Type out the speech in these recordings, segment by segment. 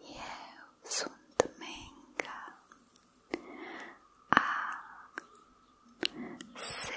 Eu sunt Menga A C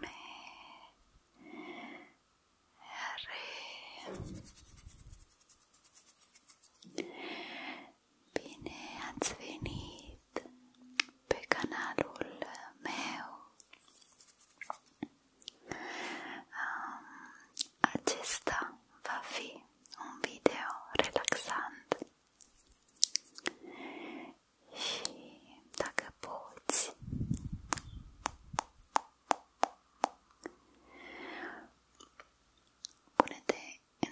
M R Bine ați venit pe canalul meu Acesta va fi un video relaxant și dacă poți pune-te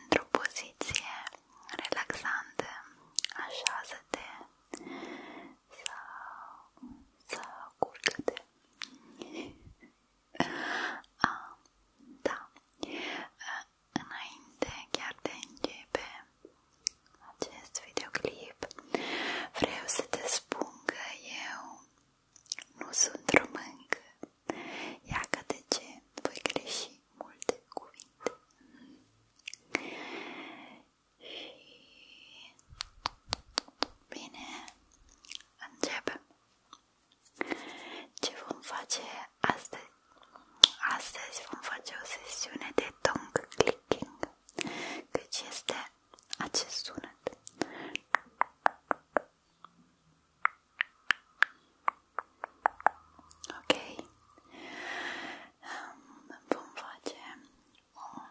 într-o poziție relaxantă, așează-te sau, sau culcă-te a, ah, da. Eh, înainte chiar de începe acest videoclip, vreau să te spun că eu nu sunt româncă. Ia că de ce voi greși multe cuvinte. Și Bine, începem. Ce vom face astăzi? Astăzi vom face o sesiune de tongue clicking, căci este acest sunet. Ok, vom face o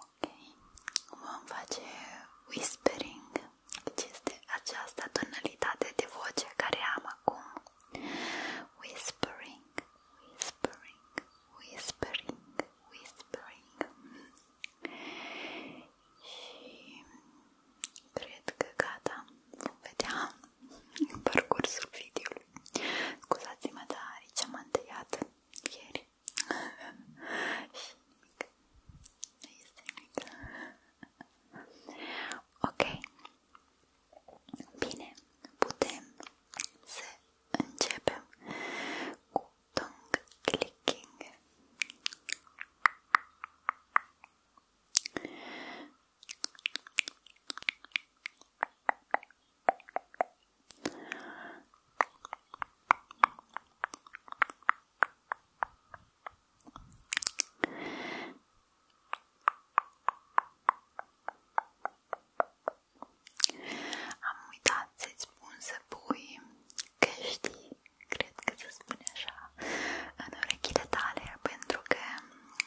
Ok, vom face whispering, deci este această tonalitate de voce care am acum. Whispering, whispering, whispering, whispering. Și cred că gata, vom vedea în parcursul video capului. Scuzați-mă, dar aici m-am întâiat ieri. Și nimic. Nu este nimic. Ok. Bine, putem să începem cu tongue clicking. Am uitat să-ți spun să pui căști, cred că se spune așa, în urechile tale pentru că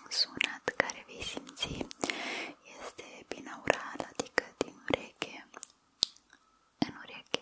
sunat care vei simți este binaural, adică din ureche în ureche.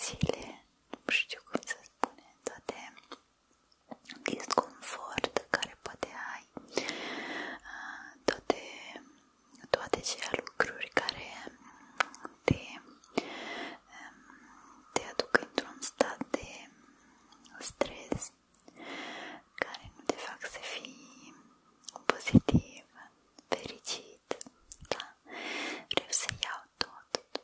zile, nu știu cum să spune, toate disconfort care poate ai, uh, toate, toate cele lucruri care te, um, te aduc într-un stat de stres care nu te fac să fii pozitiv, fericit, da? Vreau să iau tot,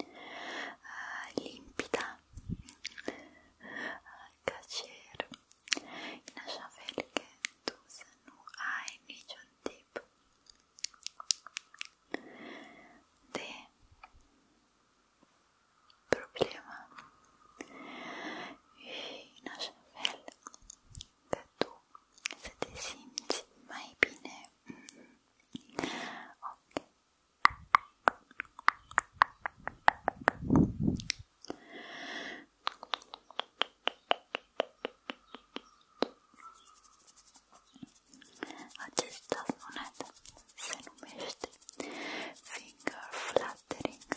ah, límpida, ah, cacera, inachavelike é tusanu nenhum tipo De problema e inachavel que é tu se te simți mai bine. Ok. Acesta sunet se numește finger fluttering.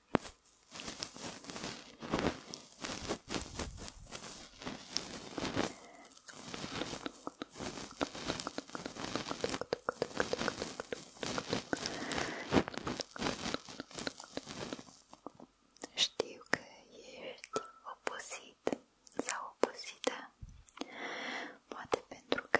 Știu că ești obosit sau obosită, poate pentru că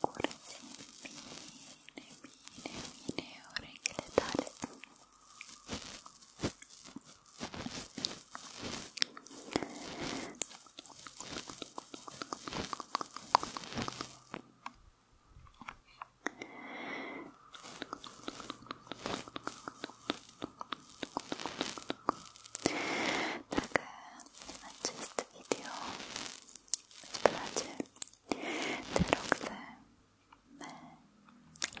Curățim bine, bine, bine urechile tale dacă acest video îți place, te rog să me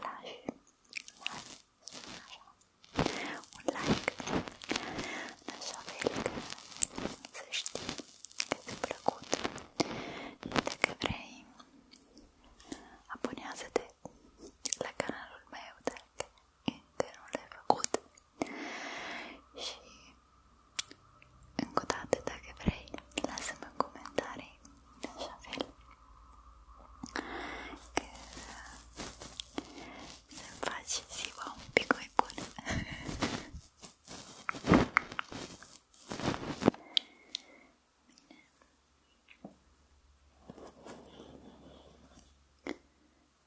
lași, lași așa, un like, în așa fel că să știi că ți-a plăcut și dacă vrei, abonează-te la canalul meu dacă încă nu le-ai făcut și încă o dată, dacă vrei, lasă-mi în comentarii în așa fel că să-mi faci ziua un pic mai bună Bine.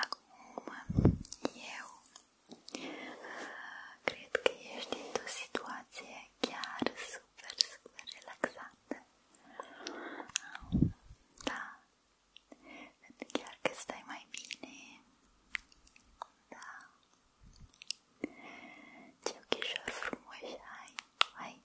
Acum eu uh, cred că ești într-o situație chiar super, super relaxată. Da, chiar că stai mai bine. Da. Ce ochișori frumoși ai, ai.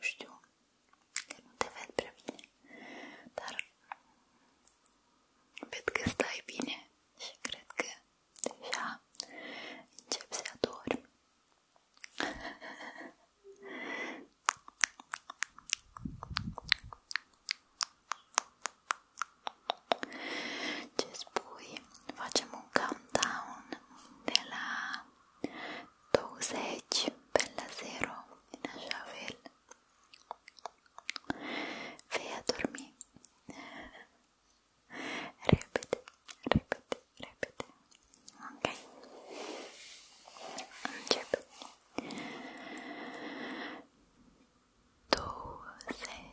Ждем. Evet pre Dar ved că stai bine și că deja încep să adormi. Ce spui? facciamo un countdown della dosage per la sera in Ashavel vai a dormire ripete, ripete, ripete ok Angelo dosage